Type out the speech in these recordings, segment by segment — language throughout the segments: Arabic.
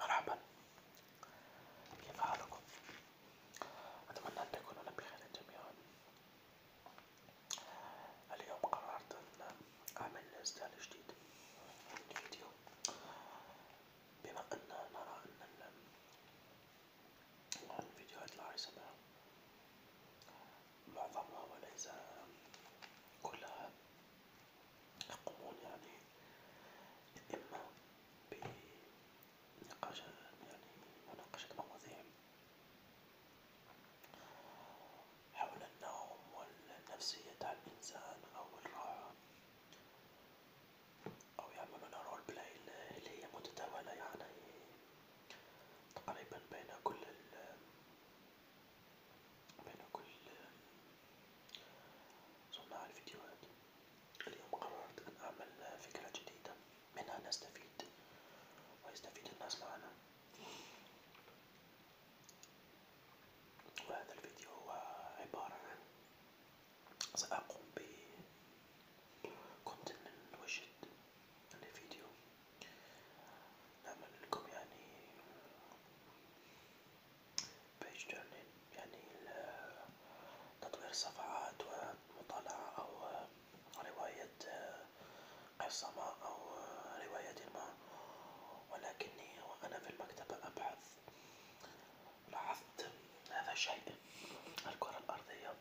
مرحبا كيف حالكم؟ أتمنى أن تكونون بخير جميعا اليوم قررت أن أعمل إنستال جديد فيديو بما أن نرى أن الفيديوهات العاصمة معظمها وليس كلها يقومون يعني إما بنقاش يعني مناقشة مواضيع حول النوم والنفسية تاع الإنسان أو الراحة أو يعملون رول بلاي اللي هي متداولة يعني تقريبا بين كل بناكل صناع الفيديوهات اليوم قررت أن أعمل فكرة جديدة منها نستفيد ويستفيد الناس معنا وهذا الفيديو هو عبارة عن سأقوم ب كنت من وجد الفيديو نعمل لكم يعني باش تعمل يعني تطوير صفحات ومطالعة أو رواية قصة ما أو رواية ما ولكني وأنا في المكتبة أبحث لاحظت هذا الشيء الكرة الأرضية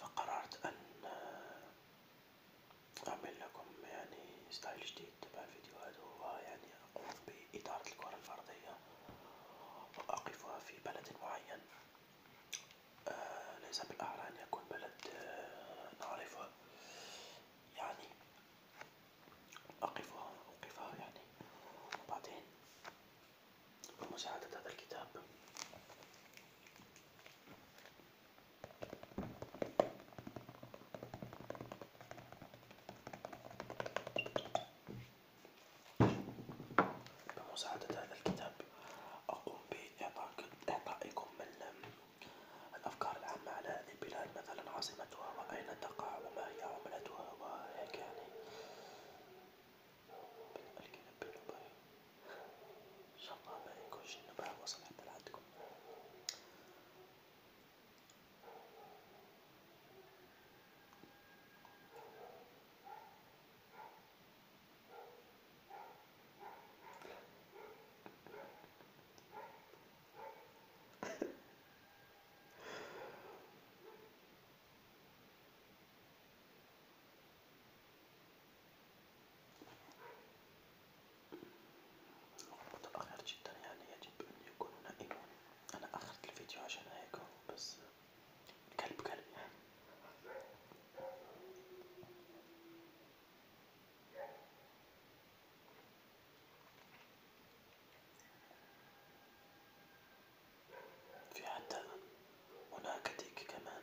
فقررت أن أعمل لكم يعني ستايل جديد تبع الفيديوهات وهو يعني أقوم بإدارة الكرة الأرضية وأقفها في بلد معين آه، ليس بالأعلى أن يكون بلد آه، نعرفه يعني أقفها أوقفها يعني وبعدين بمساعدة هذا الكتاب بمساعدة هذا الكتاب أقوم بإعطائكم الأفكار العامة على هذه البلاد مثلا عاصمتها وأين تقع وما هي عملتها وهيك يعني. ان شاء الله يكون شي نبع وصل حتى لعندكم متأخر جدا يعني يجب أن يكون نائما أنا أخرت الفيديو عشان هيك بس كلب كلب يعني في حتى هناك ديك كمان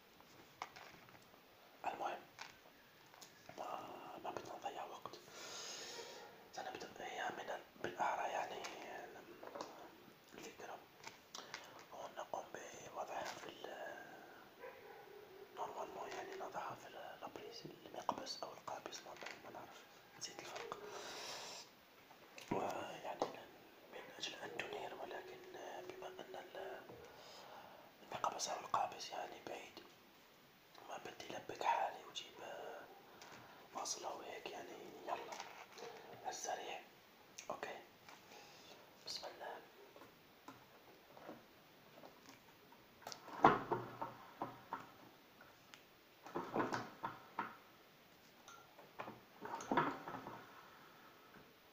المهم ما بدنا نضيع وقت سنبدأ هي من بالأعرى يعني الفكرة ونقوم بوضعها في نورمالمون يعني نضعها في لابريس المقبس أو القابس نورمالمون ما نعرف نسيت الفرق ويعني من أجل أن تنير ولكن بما أن المقبس أو القابس يعني بعيد ما بدي لبك حالي وجيب آه، واصلة وهيك يعني يلا على السريع أوكي بسم الله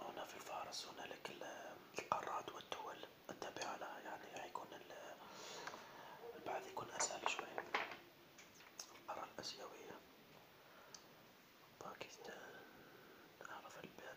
هنا في فارس هنالك القارات والدول التابعة لها يعني حيكون البعث يكون أسهل شوي القارة الآسيوية باكستان أعرف الباء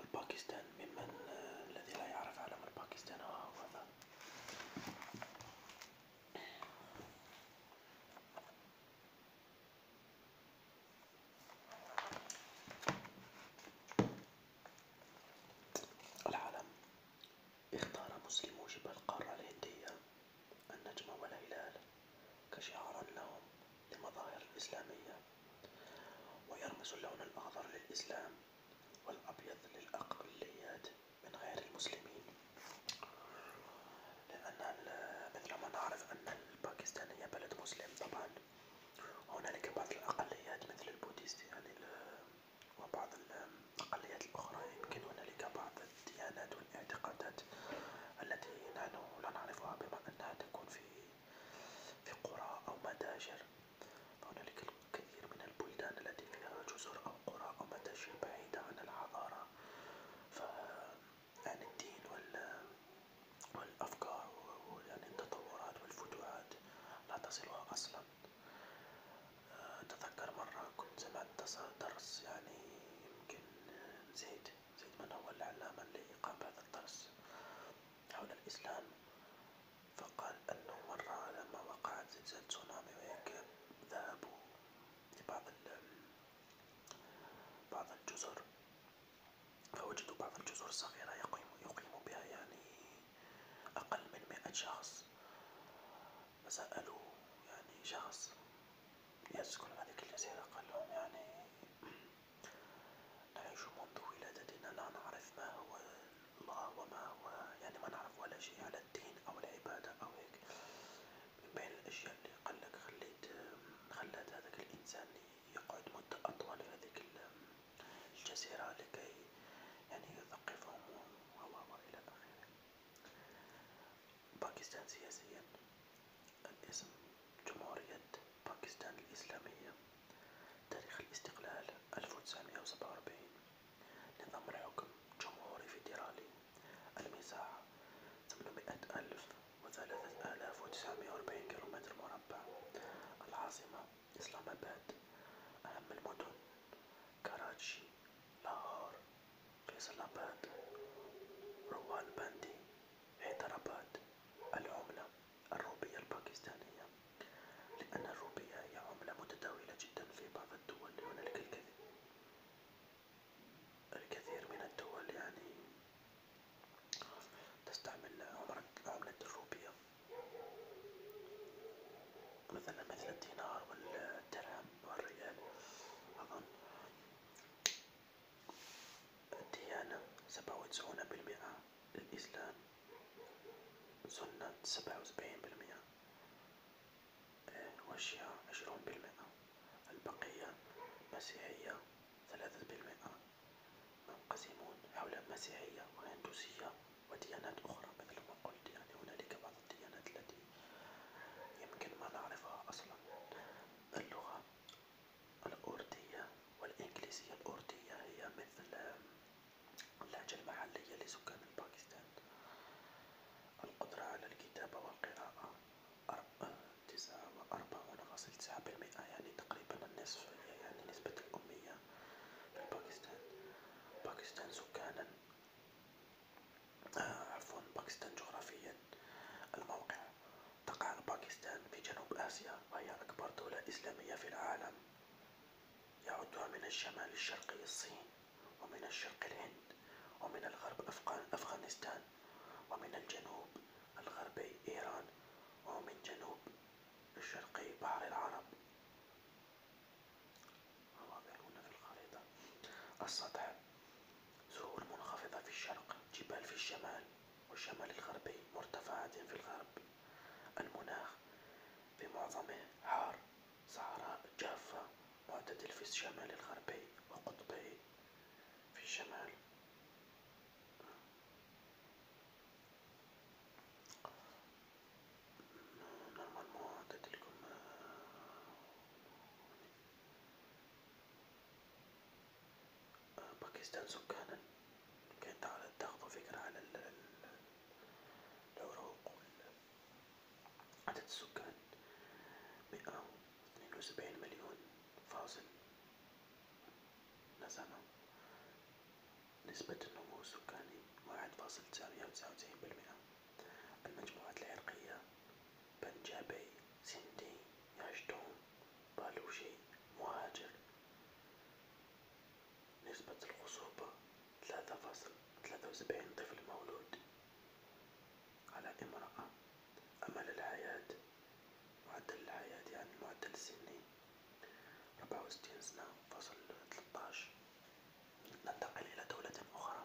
الباكستان ممن الذي لا يعرف علم الباكستان هو هذا العلم اختار مسلمو جبال القارة الهندية النجم والهلال كشعار لهم لمظاهر الإسلامية ويرمز اللون الأخضر للإسلام والأبيض للأقليات من غير المسلمين لأن مثل ما نعرف أن هي بلد مسلم طبعا هنالك بعض الأقليات مثل البوديست يعني وبعض الأقليات الأخرى يمكن هنالك بعض الديانات والاعتقادات التي نحن لا نعرفها بما أنها تكون في في قرى أو متاجر هنالك الكثير من البلدان التي فيها جزر أو قرى أو متاجر بعيدة عن الحضارة عن الدين والأفكار يعني التطورات والفتوحات لا تصلها أصلا أتذكر مرة كنت سمعت درس يعني يمكن زيد زيدمان هو العلامة الذي قام بهذا الدرس حول الإسلام فقال أنه مرة لما وقعت زلزال تسونامي وهيك ذهبوا لبعض بعض الجزر فوجدوا بعض الجزر الصغيرة يقيم يقيم بها يعني أقل من مئة شخص فسألوا يعني شخص يسكن هذه الجزيرة قال لهم يعني نعيش منذ ولادتنا لا نعرف ما هو الله وما هو يعني ما نعرف ولا شيء على الدين أو العبادة أو هيك من بين الأشياء اللي قالك خليت خلات هذاك الإنسان يقعد مدة أطول في هذيك الجزيرة لكي يعني يثقفهم و إلى آخره باكستان سياسيا الاسم جمهورية باكستان الإسلامية تاريخ الاستقلال 1947 نظام الحكم جمهوري فيدرالي المساحة 800000 و3940 كيلومتر مربع العاصمة إسلام آباد أهم المدن كراتشي لاهور فيصل آباد روان بندي حيدر آباد العملة الروبية الباكستانية لأن الروبية هي عملة متداولة جدا في بعض الدول هناك الكثير الكثير من الدول يعني تستعمل عملة الروبية مثلا مثل الدينار والدرهم والريال أظن الديانة سبعة وتسعون بالمئة الإسلام سنة سبعة وسبعين بالمئة آه، والشيعة عشرون بالمئة البقية مسيحية ثلاثة بالمئة منقسمون حول مسيحية وهندوسية وديانات أخرى مثل ما قلت يعني هنالك بعض الديانات التي يمكن ما نعرفها أصلا اللغة الأردية والإنجليزية الأردية هي مثل اللهجة المحلية لسكان باكستان القدرة على الكتابة والقراءة آه، تسعة وأربعون فاصل تسعة بالمئة يعني تقريبا النصف يعني نسبة الأمية في باكستان باكستان سكانا آه، عفوا باكستان جغرافيا الموقع تقع باكستان في جنوب آسيا وهي أكبر دولة إسلامية في العالم يعدها من الشمال الشرقي الصين ومن الشرق الهند ومن الغرب أفغانستان ومن الجنوب الغربي إيران ومن جنوب الشرقي بحر العرب هنا السطح زهور منخفضة في الشرق جبال في الشمال والشمال الغربي مرتفعة في الغرب المناخ بمعظمه حار صحراء جافة معتدل في الشمال الغربي وقطبي في الشمال باكستان سكانا كانت تحاول تاخدوا فكرة على العراق عدد السكان مئة اثنين وسبعين مليون فاصل نسمة نسبة النمو السكاني واحد فاصل تسعمية وتسعة وتسعين بالمئة المجموعات العرقية بنجابي سندي يعجتون بلوشي مهاجر نسبة الخصوبة ثلاثة فاصل ثلاثة وسبعين طفل مولود على امرأة أمل الحياة معدل الحياة يعني المعدل السني ربعة وستين سنة فاصل تلتاش ننتقل إلى دولة أخرى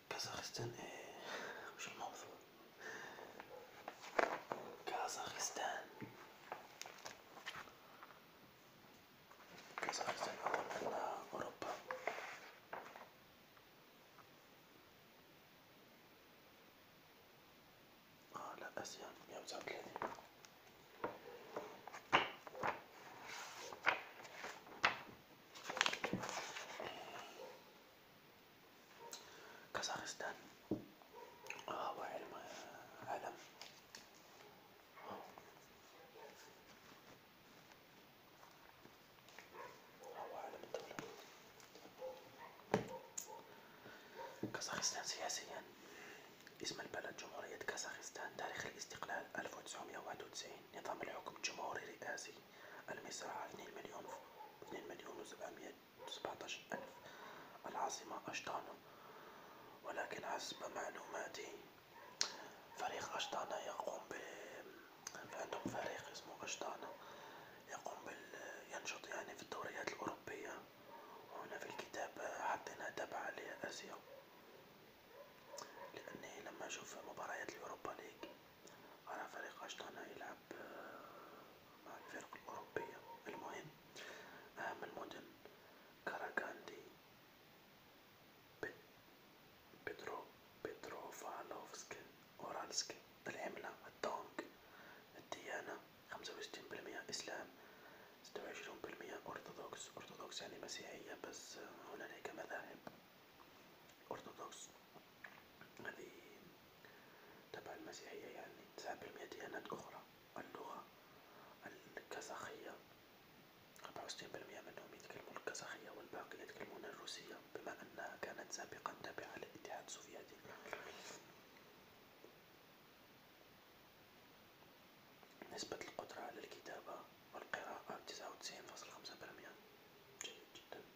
كازاخستان ايه مش الموضوع كازاخستان كازاخستان أول من أوروبا آه لا آسيا مية وتسعة وتلاتين آه، آه، كازاخستان سياسيا اسم البلد جمهورية كازاخستان تاريخ الاستقلال 1991 نظام الحكم جمهوري رئاسي المساحة اثنين مليون اثنين مليون وسبعمية وسبعة ألف العاصمة أشطانة ولكن حسب معلوماتي فريق أشطانة يقوم ب عندهم فريق اسمه أشطانة يقوم بال ينشط يعني في الدوريات الأوروبية وهنا في الكتاب حطينا تبع عليها آسيا لأني لما أشوف مباريات اليوروبا ليج على فريق أشطانة يلعب آه، مع الفرق الأوروبية المهم أهم المدن كاراكاندي بيترو بيتروفالوفسك أورالسك العملة الدونج الديانة خمسة وستين بالمية إسلام ستة وعشرون بالمية أرثوذكس أرثوذكس يعني مسيحية بس آه، هنالك مذاهب أرثوذكس هذه يعني تبع المسيحية يعني تسعة بالمية ديانات أخرى اللغة الكازاخية أربعة وستين بالمية منهم يتكلمون الكازاخية والباقي يتكلمون الروسية بما أنها كانت سابقا تابعة للاتحاد السوفيتي نسبة القدرة على الكتابة والقراءة تسعة وتسعين فاصل خمسة بالمية جيد جدا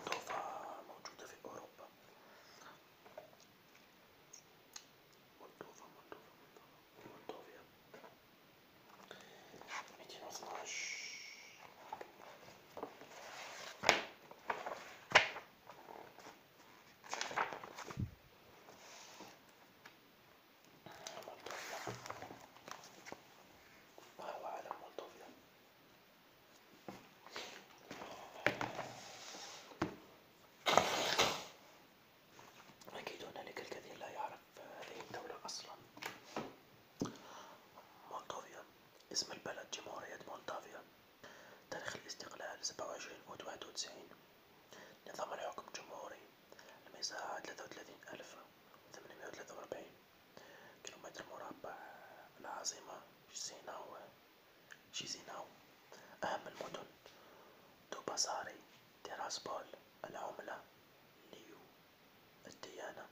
الضفة موجودة في أوروبا مولدوفا مولدوفا مولدوفيا ميتين واثناش ما هو علم مولدوفيا؟ أكيد هنالك الكثير لا يعرف هذه الدولة أصلا مولدوفيا اسم البلد جمهورية مولدوفيا تاريخ الاستقلال 27 أوت 91 نظام الحكم جمهوري المساحة 33843 كيلومتر مربع العاصمة شيزيناو شيزيناو أهم المدن دوباساري تيراسبول العملة ليو الديانة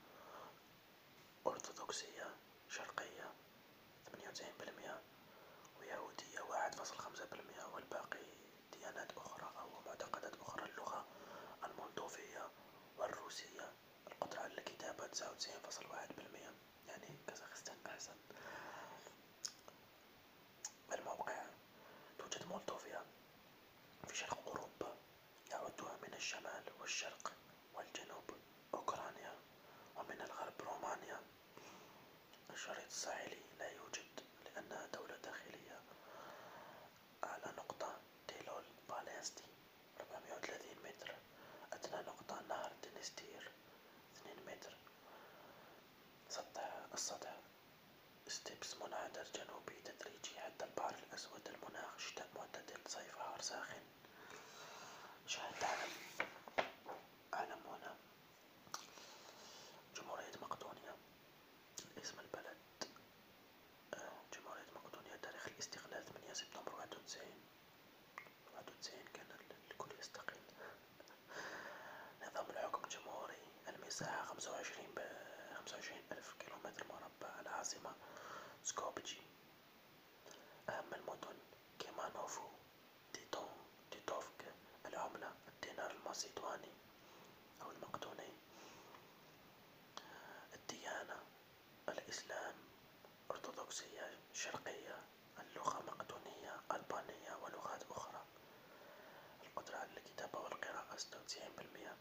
أرثوذكسية شرقية ثمانية وتسعين بالمئة ويهودية واحد فاصل خمسة بالمئة والباقي ديانات أخرى أو معتقدات أخرى اللغة المولدوفية والروسية القدرة على الكتابة تسعة وتسعين فاصل واحد بالمية يعني كازاخستان أحسن الموقع توجد مولدوفيا في شرق أوروبا يعدها من الشمال والشرق والجنوب أوكرانيا ومن الغرب رومانيا الشريط الساحلي لا يوجد لأنها دولة داخلية على نقطة تيلول باليستي 430 متر أدنى نقطة نهر دنستير 2 متر سطح السطح ستيبس منحدر جنوبي تدريجي حتى البحر الأسود المناخ شتاء معتدل صيف حار ساخن شاهد علم علم جمهورية مقدونيا اسم البلد جمهورية مقدونيا تاريخ الاستقلال 8 سبتمبر 91 91 كان الكل يستقل نظام الحكم الجمهوري المساحة 25 ب 25 ألف كيلومتر مربع العاصمة سكوبجي أهم المدن كيمانوفو تيتون تيتوفك العملة الدينار الماسيدواني أو المقدوني الديانة الإسلام أرثوذكسية شرقية اللغة مقدونية ألبانية ولغات أخرى القدرة على الكتابة والقراءة ستة وتسعين بالمئة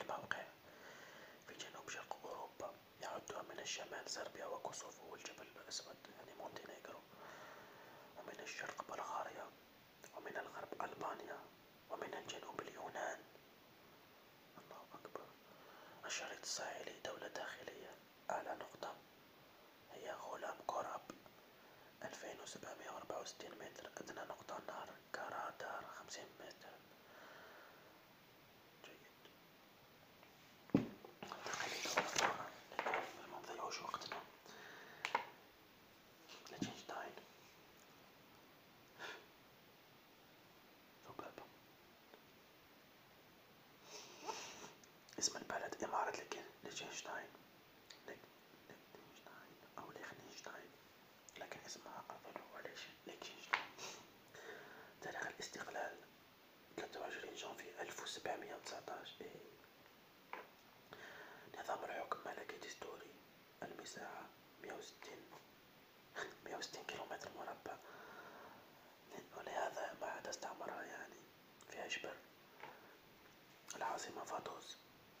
الموقع في جنوب شرق أوروبا يعدها من الشمال صربيا وكوسوفو والجبل الأسود يعني مونتينيغرو ومن الشرق بلغاريا ومن الغرب ألبانيا ومن الجنوب اليونان الله أكبر الشريط الساحلي دولة داخلية أعلى نقطة هي غلام كوراب 2764 متر أدنى نقطة نهر كارادار 50 متر جيد ننتقل لدولة أخرى لكي ما نضيعوش وقتنا لتشنشتاين ذبابة اسم البلد إمارة ليخنشتاين ليخنشتاين أو ليخنشتاين لكن اسمها أظن هو ليخنشتاين تاريخ الاستقلال 23 جانفي 1719 نظام الحكم ملكي دستوري المساحة 160 مئة وستين كيلومتر مربع ولهذا بعد استعمرها يعني فيها جبل العاصمة فاتوس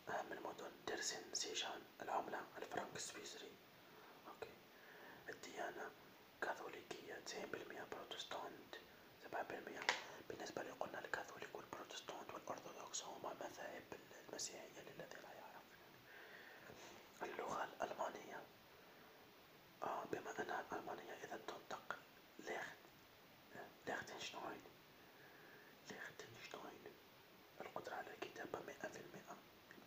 أهم المدن ترسن سيشان العملة الفرنك السويسري أوكي. الديانة كاثوليكية تسعين بالمية بروتستانت سبعة بالمية بالنسبة لي قلنا الكاثوليك والبروتستانت والأرثوذكس هما مذاهب المسيحية للذي لا يعرف اللغة الألمانية آه بما أنها الألمانية إذا تنطق ليختنشتاين ليختنشتاين القدرة على الكتابة مئة في المئة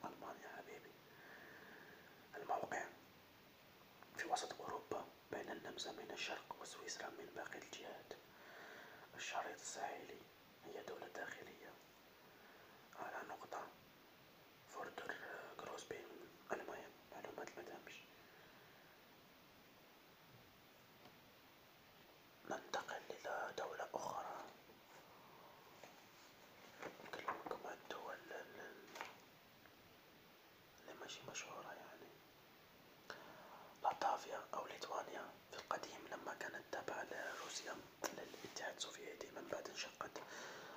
ألمانيا حبيبي الموقع في وسط أوروبا بين النمسا من الشرق وسويسرا من باقي الجهات الشريط الساحلي هي دولة داخلية على نقطة فوردر كروسبي المهم معلومات متهمش ننتقل إلى دولة أخرى نكلمكم عن الدول اللي ماشي مشهورة يعني لاتافيا أو ليتوانيا في القديم لما كانت تابعة لروسيا للاتحاد السوفيتي من بعد انشقت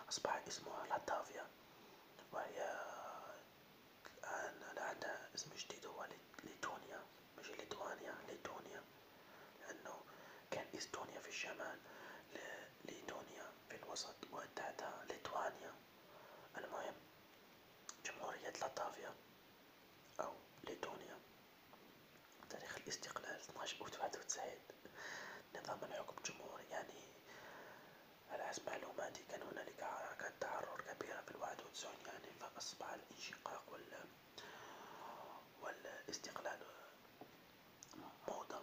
أصبح اسمها لاتفيا وهي الآن عندها اسم جديد هو ليتونيا ماشي ليتوانيا ليتونيا لأنه كان إستونيا في الشمال ليتونيا في الوسط وتحتها ليتوانيا المهم جمهورية لاتفيا أو ليتونيا تاريخ الاستقلال 12 أوت 91 نظام الحكم الجمهوري يعني على حسب معلوماتي كان هنالك حركة تحرر كبيرة في الواحد وتسعون يعني فأصبح الانشقاق وال والاستقلال موضة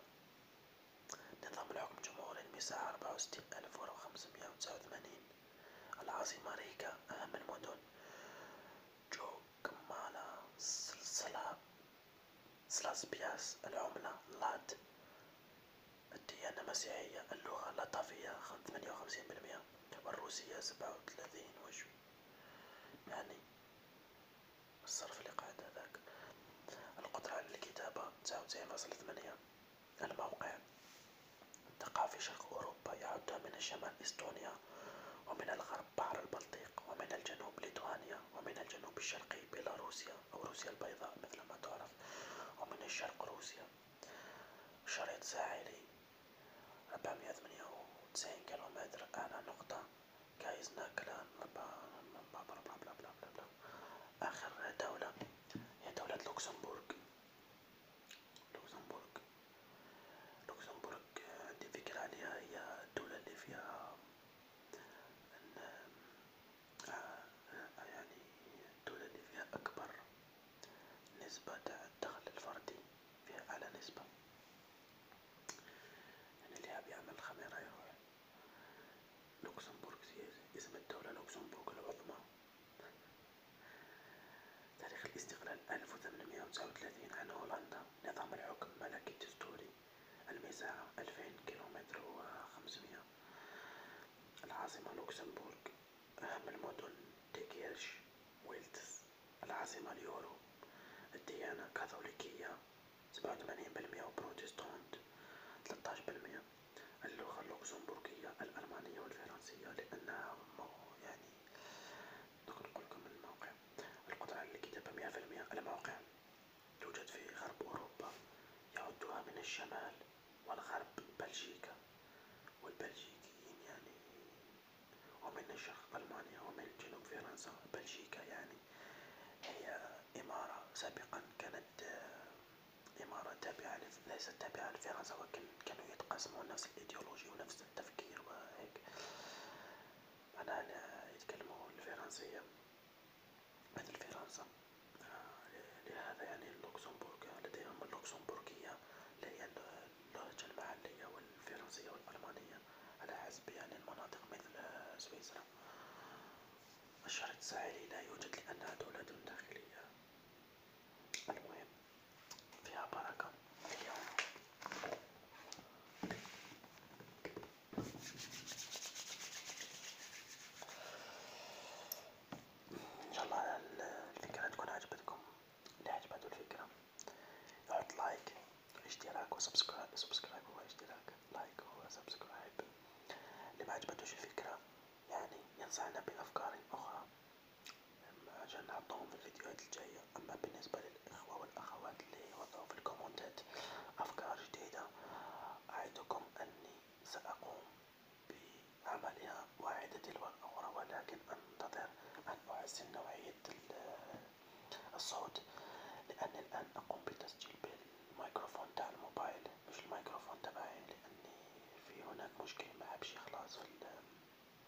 نظام الحكم الجمهوري المساحة أربعة وستين ألف وخمسمائة وتسعة وثمانين العاصمة ريكا أهم المدن جو كمالة السلسلة بياس العملة لاد الديانة مسيحية اللغة اللطافية ثمانية وخمسين بالمية والروسية سبعة وثلاثين وجه يعني الصرف اللي قاعد هذاك القدرة على الكتابة تسعة وتسعين فاصل ثمانية الموقع الثقافي شرق أوروبا يعد من الشمال إستونيا ومن الغرب بحر البلطيق ومن الجنوب ليتوانيا ومن الجنوب الشرقي بيلاروسيا أو روسيا البيضاء مثل ما تعرف ومن الشرق روسيا شريط ساحلي 498 كيلومتر أعلى نقطة كايزنا كلان بلا بلا بلا بلا بلا آخر دولة هي دولة لوكسمبورغ لوكسمبورغ لوكسمبورغ عندي فكرة عليها هي الدولة اللي فيها آه، آه، يعني الدولة اللي فيها أكبر نسبة تاع الدخل الفردي فيها أعلى نسبة يعني اللي حاب يعمل خميرة يروح لوكسمبورغ اسم الدولة لوكسمبورغ العظمى تاريخ الاستقلال 1839 عن هولندا نظام الحكم ملكي دستوري المساحة ألفين كيلومتر وخمسمية العاصمة لوكسمبورغ أهم المدن ديكيرش ويلتس العاصمة اليورو الديانة كاثوليكية سبعة وثمانين بالمية وبروتستانت تلتاش بالمية اللغة اللوكسمبورغية الألمانية والفرنسية لأنها يعني نقدر نقولكم الموقع المواقع القطع الكتابة مئة في المئة المواقع توجد في غرب أوروبا يعدها من الشمال والغرب بلجيكا والبلجيكيين يعني ومن الشرق ألمانيا ومن جنوب فرنسا بلجيكا يعني هي إمارة سابقا كانت آه، إمارة تابعة ليست تابعة لفرنسا ولكن كانوا يتقاسمون نفس الإيديولوجي ونفس التفكير وهيك معناها يتكلموا الفرنسية مثل فرنسا آه، لهذا يعني اللوكسمبورغ لديهم اللوكسمبورغية اللي هي اللهجة المحلية والفرنسية والألمانية على حسب يعني المناطق مثل سويسرا الشريط الساحلي لا يوجد لأنها دولة داخلية المهم فيها بركة اليوم ان شاء الله الفكرة تكون عجبتكم اللي عجبته الفكرة يحط لايك اشتراك وسبسكرايب سبسكرايب هو اشتراك لايك هو سبسكرايب اللي ما الفكرة يعني ينصحنا بأفكار أخرى عشان نحطهم في الفيديوهات الجاية العربية أما بالنسبة للإخوة والأخوات اللي وضعوا في الكومنتات أفكار جديدة أعدكم أني سأقوم بعملها واحدة تلو الأخرى ولكن أنتظر أن أحسن نوعية الصوت لأن الآن أقوم بتسجيل بالميكروفون تاع الموبايل مش الميكروفون تبعي لأني في هناك مشكل ما عبش يخلص في